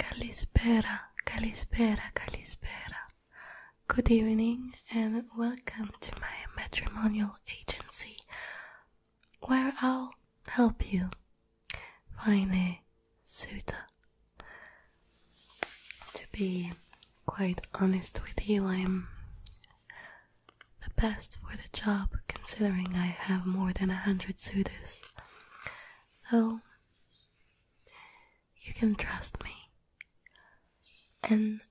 Calispera, Calispera, Calispera. Good evening and welcome to my matrimonial agency where I'll help you find a suitor. To be quite honest with you, I'm the best for the job, considering I have more than a hundred suitors. So, you can trust me. And,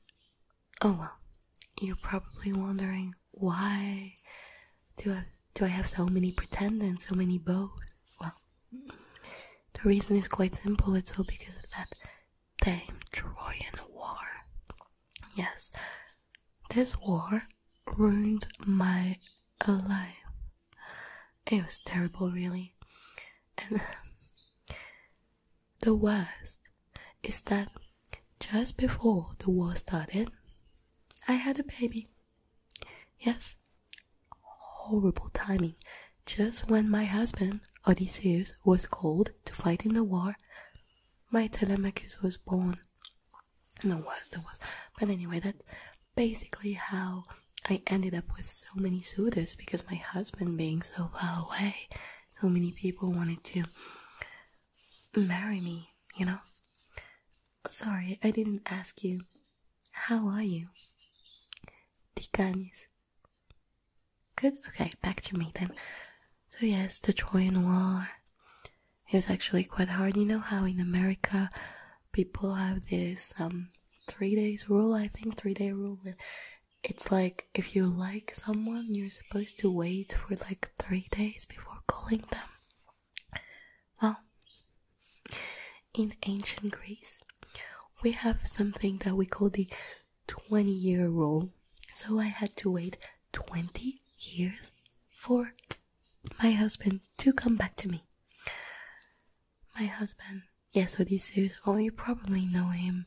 oh well, you're probably wondering why do I, have so many pretendants, so many beaux? Well, the reason is quite simple, it's all because of that the Trojan War. Yes, this war ruined my life. It was terrible, really. And the worst is that just before the war started, I had a baby. Yes, horrible timing. Just when my husband, Odysseus, was called to fight in the war, my Telemachus was born. No worse there was. But anyway, that's basically how I ended up with so many suitors because my husband being so far away, so many people wanted to marry me, you know? Sorry, I didn't ask you. How are you? Ticanis. Good? Okay, back to me then. So, yes, the Trojan War. It was actually quite hard. You know how in America people have this um, three days rule, I think, three day rule. It's like if you like someone, you're supposed to wait for like three days before calling them. Well, in ancient Greece, we have something that we call the 20 year rule. So I had to wait 20 years for my husband to come back to me. My husband, yes, Odysseus. this oh, you probably know him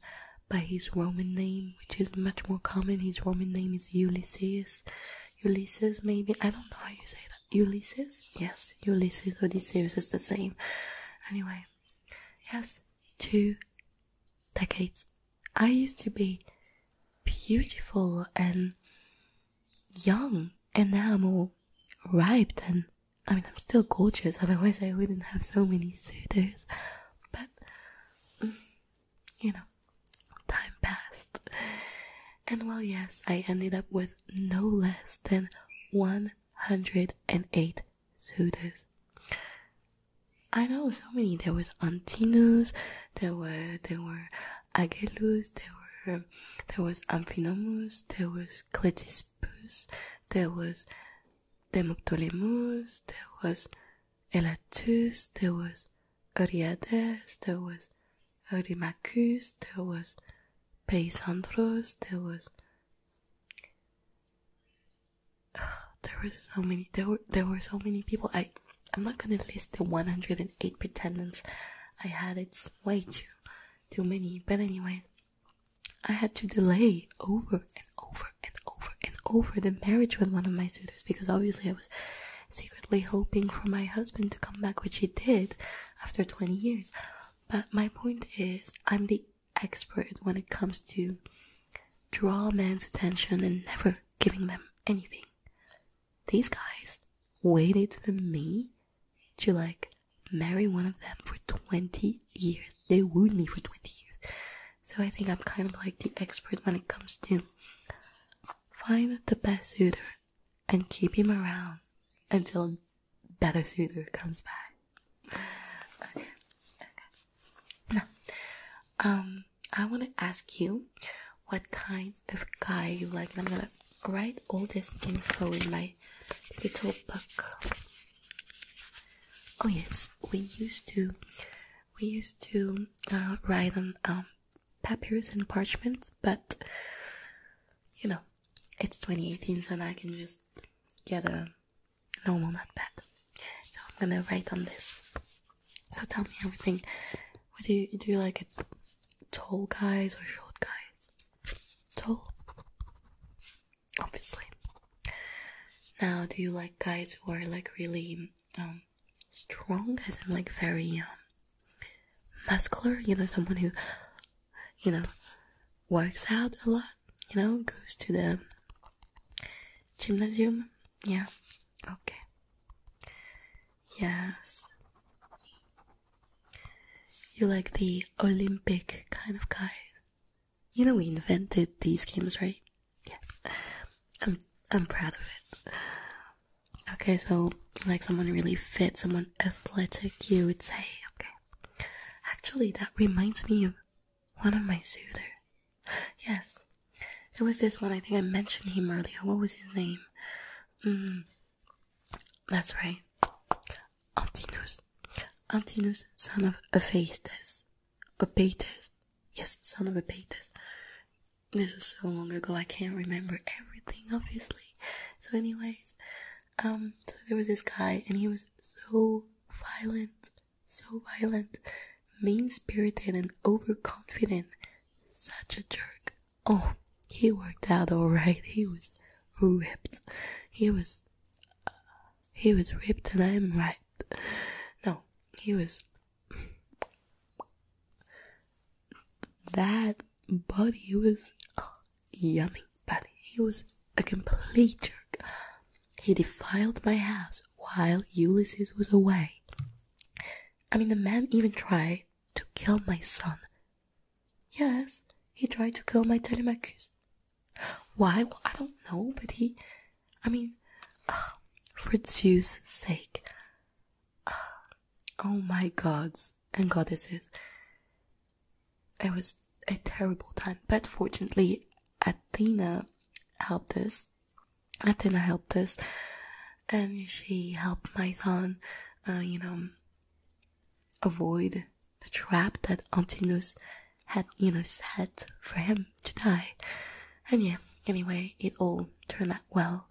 by his Roman name, which is much more common. His Roman name is Ulysses. Ulysses, maybe, I don't know how you say that. Ulysses? Yes, Ulysses Odysseus is the same. Anyway, yes, two decades, I used to be beautiful and young, and now I'm all ripe and I mean, I'm still gorgeous, otherwise, I wouldn't have so many suitors. But, mm, you know, time passed. And well, yes, I ended up with no less than 108 suitors. I know so many. There was Antinous, there were there were Agellus, there were there was Amphinomus, there was Cletispus, there was Demoptolemus, there was Elatus, there was Euryades, there was Eurymachus, there was Paisandros, there was there were so many there were there were so many people i i'm not gonna list the 108 pretendants i had it's way too too many but anyway i had to delay over and over and over and over the marriage with one of my suitors because obviously i was secretly hoping for my husband to come back which he did after 20 years but my point is i'm the expert when it comes to draw men's attention and never giving them anything. These guys waited for me to like marry one of them for 20 years. They wooed me for 20 years. So I think I'm kind of like the expert when it comes to find the best suitor and keep him around until better suitor comes back. Okay, okay. Now, um, I want to ask you what kind of guy you like, and I'm gonna write all this info in my little book. Oh yes, we used to, we used to uh, write on um, papyrus and parchments, but you know, it's 2018, so now I can just get a normal notepad. So I'm gonna write on this. So tell me everything. What do you do? You like tall guys or short guys? Tall, obviously. Now, do you like guys who are like really um strong, as in like very um muscular? You know, someone who you know works out a lot you know, goes to the gymnasium. Yeah, okay. Yes. you like the Olympic kind of guy. You know, we invented these games, right? Yeah. I'm, I'm proud of it. Okay, so like someone really fit, someone athletic, you would say, okay. Actually, that reminds me of one of my suitor. Yes. There was this one. I think I mentioned him earlier. What was his name? Mm. That's right. Antinous. Antinous, son of Aphaetes. Aphaetes. Yes, son of Aphaetes. This was so long ago, I can't remember everything, obviously. So anyways, um, so there was this guy, and he was so violent so violent, mean spirited, and overconfident. Such a jerk. Oh, he worked out alright. He was ripped. He was. Uh, he was ripped, and I'm right. No, he was. that body was uh, yummy, Body. he was a complete jerk. He defiled my house while Ulysses was away. I mean, the man even tried to kill my son. Yes, he tried to kill my Telemachus. Why? I don't know, but he. I mean, ah, for Zeus' sake. Ah, oh my gods and goddesses. It was a terrible time, but fortunately, Athena helped us. Athena helped us, and she helped my son, uh, you know, avoid the trap that Antinous had, you know, set for him to die. And yeah, anyway, it all turned out well.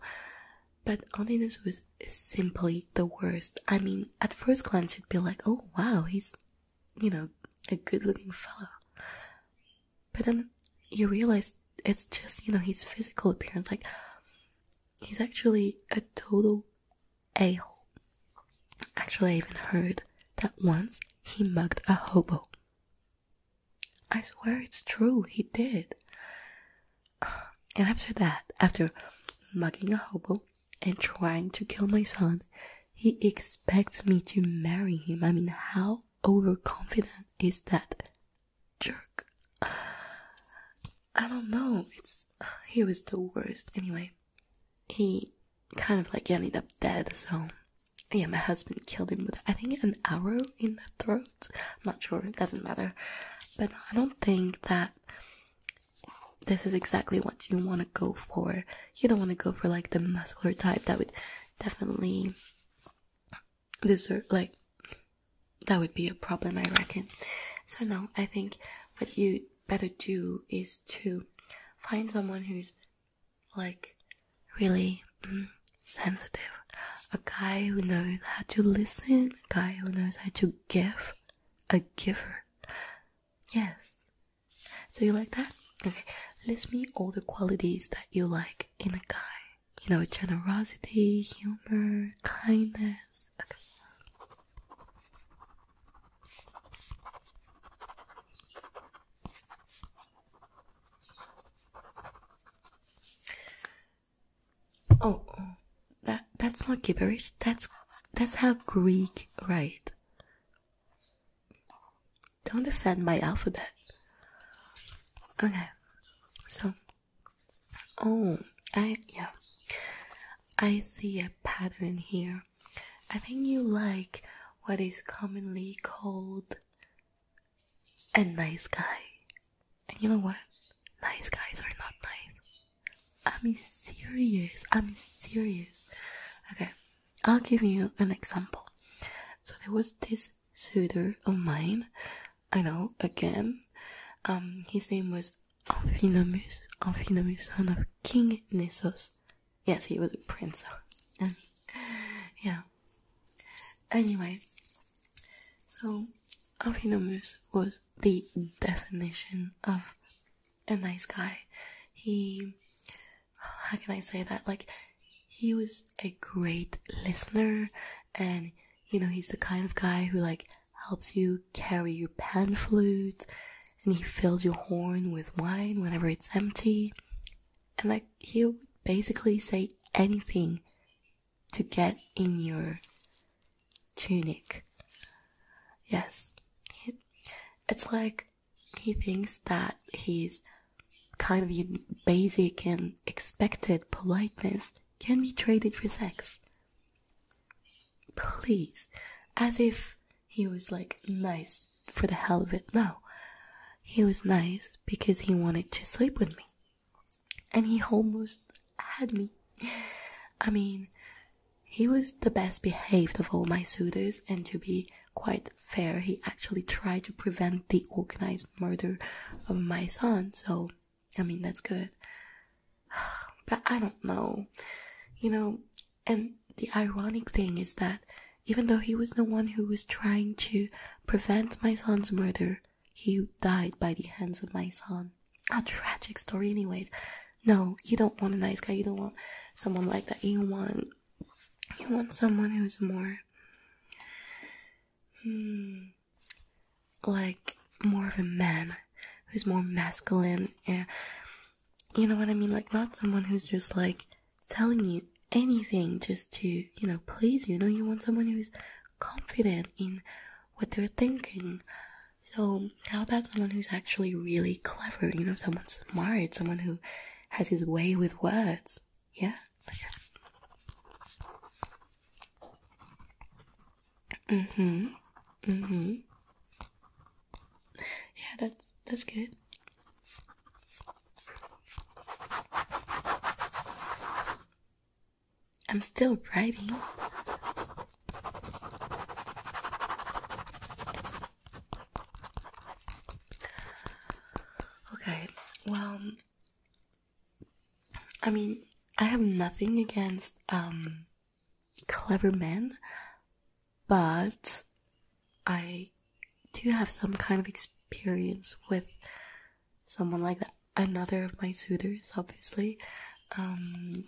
But Antinous was simply the worst. I mean, at first glance, you'd be like, oh wow, he's you know, a good looking fella. But then you realize it's just, you know, his physical appearance. Like, he's actually a total a hole. Actually, I even heard that once he mugged a hobo. I swear it's true, he did. And after that, after mugging a hobo and trying to kill my son, he expects me to marry him. I mean, how overconfident is that jerk? I don't know. It's he was the worst. Anyway, he kind of like ended up dead. So yeah, my husband killed him with I think an arrow in the throat. not sure. It doesn't matter. But I don't think that this is exactly what you want to go for you don't want to go for like the muscular type that would definitely deserve like that would be a problem i reckon so no i think what you better do is to find someone who's like really mm, sensitive a guy who knows how to listen a guy who knows how to give a giver yes so you like that? Okay, list me all the qualities that you like in a guy. You know, generosity, humor, kindness. Okay. Oh, oh. that that's not gibberish. That's that's how Greek write. Don't defend my alphabet. Okay, so oh, I yeah, I see a pattern here. I think you like what is commonly called a nice guy, and you know what? Nice guys are not nice. I'm serious. I'm serious. Okay, I'll give you an example. So there was this suitor of mine. I know again. Um, his name was Amphinomus, Amphinomus, son of King Nessos. Yes, he was a prince. yeah. Anyway, so Amphinomus was the definition of a nice guy. He how can I say that? Like, he was a great listener, and you know, he's the kind of guy who like helps you carry your pan flute, and he fills your horn with wine whenever it's empty, and like he would basically say anything to get in your tunic. Yes, it's like he thinks that his kind of basic and expected politeness can be traded for sex. Please, as if he was like nice for the hell of it. No, he was nice because he wanted to sleep with me, and he almost had me. I mean, he was the best behaved of all my suitors, and to be quite fair. He actually tried to prevent the organized murder of my son, so I mean, that's good. But I don't know, you know, and the ironic thing is that even though he was the one who was trying to prevent my son's murder, he died by the hands of my son. A tragic story, anyways. No, you don't want a nice guy. You don't want someone like that. You want you want someone who's more hmm, like more of a man who's more masculine eh, you know what I mean like not someone who's just like telling you anything just to you know please you know you want someone who's confident in what they're thinking so how about someone who's actually really clever you know someone smart someone who has his way with words. Yeah. Mm-hmm. Mm-hmm. Yeah, that's that's good. I'm still writing. Okay, well, I mean, I have nothing against um, clever men, but I do have some kind of experience with someone like that. Another of my suitors, obviously. Um,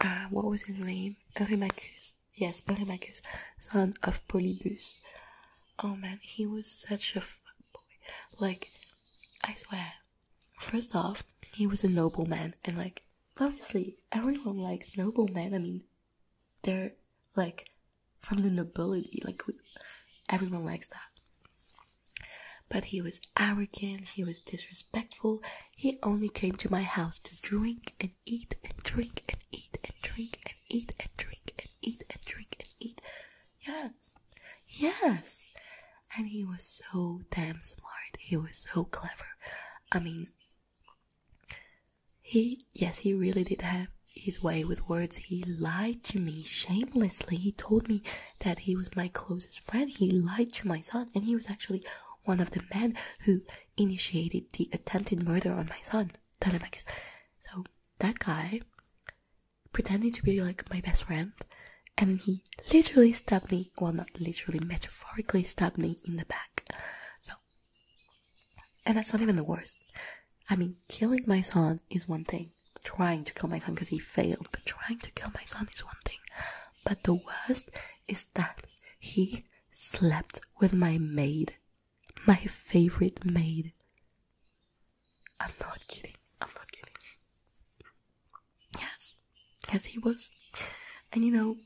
uh, what was his name? Eurymachus yes, Polymagus, son of Polybus. Oh man, he was such a boy. Like, I swear. First off, he was a nobleman, and like, obviously, everyone likes noble men. I mean, they're like from the nobility, like, everyone likes that. But he was arrogant, he was disrespectful, he only came to my house to drink and and eat and drink and eat and drink and eat and drink and eat and drink and eat. Yes, yes. And he was so damn smart. He was so clever. I mean, he, yes, he really did have his way with words. He lied to me shamelessly. He told me that he was my closest friend. He lied to my son, and he was actually one of the men who initiated the attempted murder on my son, Telemachus. So that guy pretending to be like my best friend, and he literally stabbed me. Well, not literally, metaphorically stabbed me in the back. So, and that's not even the worst. I mean, killing my son is one thing. Trying to kill my son because he failed, but trying to kill my son is one thing. But the worst is that he slept with my maid my favorite maid. I'm not kidding. I'm not kidding. Yes. Yes, he was. And you know,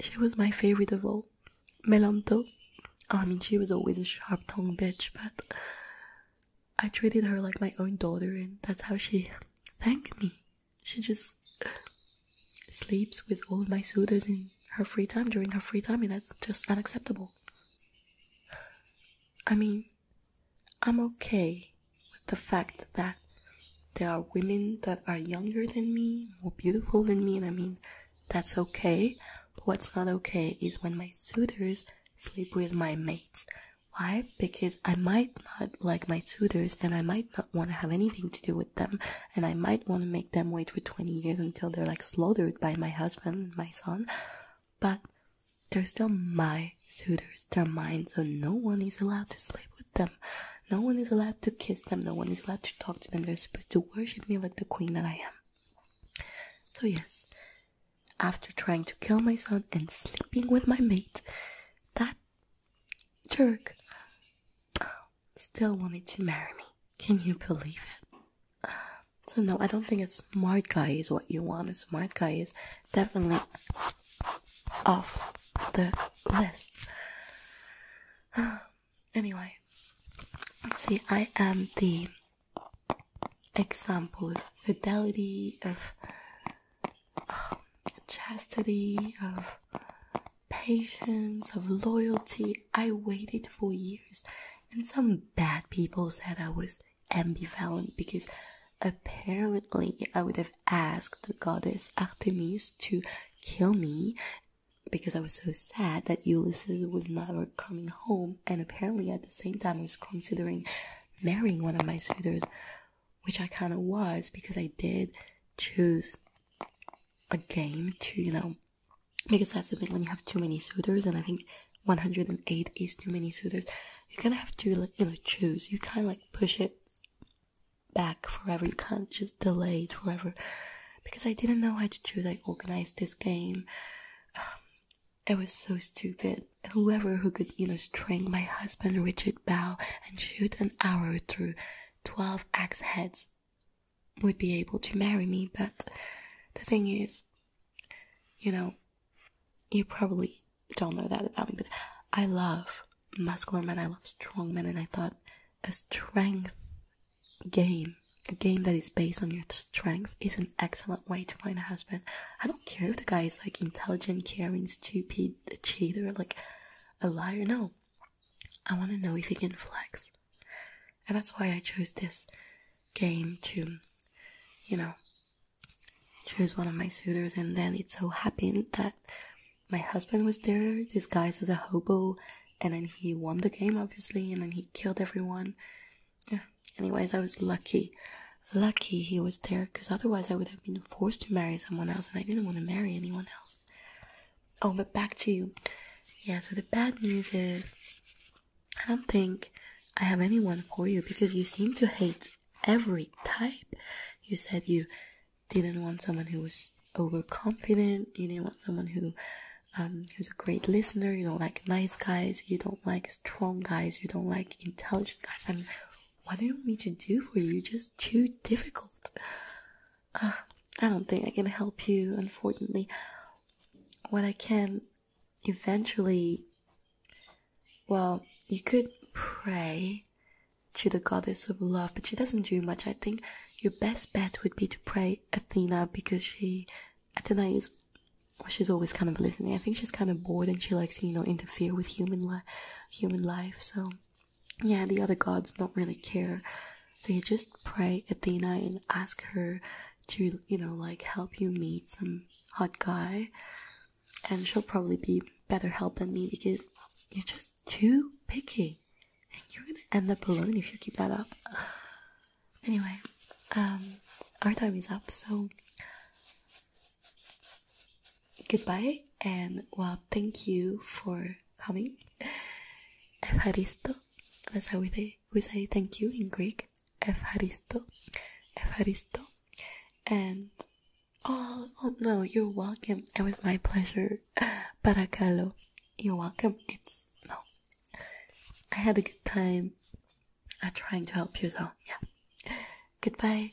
she was my favorite of all. Melanto. I mean, she was always a sharp tongued bitch, but I treated her like my own daughter, and that's how she thanked me she just uh, sleeps with all my suitors in her free time during her free time, and that's just unacceptable. I mean, I'm okay with the fact that there are women that are younger than me, more beautiful than me, and I mean, that's okay. But what's not okay is when my suitors sleep with my mates. Why? Because I might not like my suitors, and I might not want to have anything to do with them and I might want to make them wait for 20 years until they're like slaughtered by my husband and my son. But they're still my suitors; they're mine, so no one is allowed to sleep with them. No one is allowed to kiss them, no one is allowed to talk to them. They're supposed to worship me like the queen that I am. So, yes, after trying to kill my son and sleeping with my mate, that jerk still wanted to marry me. Can you believe it? So no, I don't think a smart guy is what you want. A smart guy is definitely off the list. Anyway, see, I am the example of fidelity, of um, chastity, of patience, of loyalty. I waited for years, and some bad people said I was ambivalent because apparently I would have asked the goddess Artemis to kill me because I was so sad that Ulysses was never coming home, and apparently at the same time I was considering marrying one of my suitors which I kind of was because I did choose a game to, you know, because I the when you have too many suitors, and I think 108 is too many suitors, you kind of have to, you know, choose. You kind of like push it back forever. You can't just delay it forever. Because I didn't know how to choose, I organized this game. Um, it was so stupid. And whoever who could, you know, string my husband Richard Bow and shoot an arrow through 12 axe heads would be able to marry me, but the thing is, you know, you probably don't know that about me, but I love muscular men, I love strong men, and I thought a strength game, a game that is based on your strength, is an excellent way to find a husband. I don't care if the guy is like intelligent, caring, stupid, cheater, like a liar. No, I want to know if you can flex. And that's why I chose this game to, you know, choose one of my suitors. And then it so happened that my husband was there, disguised as a hobo, and then he won the game, obviously, and then he killed everyone. Anyways, I was lucky. Lucky he was there, because otherwise I would have been forced to marry someone else, and I didn't want to marry anyone else. Oh, but back to you. Yeah, so the bad news is I don't think I have anyone for you because you seem to hate every type. You said you didn't want someone who was overconfident, you didn't want someone who um, who's a great listener, you don't like nice guys, you don't like strong guys, you don't like intelligent guys. I mean, what do you want me to do for you? Just too difficult. Uh, I don't think I can help you, unfortunately. What I can eventually. Well, you could pray to the goddess of love, but she doesn't do much, I think. Your best bet would be to pray Athena because she. Athena is. Well, she's always kind of listening. I think she's kind of bored and she likes to, you know, interfere with human, li- human life, so yeah, the other gods don't really care. So you just pray Athena and ask her to, you know, like help you meet some hot guy. And she'll probably be better help than me because you're just too picky. And you're gonna end up alone if you keep that up. Anyway, um, our time is up, so goodbye and well thank you for coming. Evharisto. That's how we say we say thank you in Greek. Evharisto. Evharisto. And oh, oh no, you're welcome. It was my pleasure. Parakalo. You're welcome. It's no. I had a good time at trying to help you so yeah. Goodbye.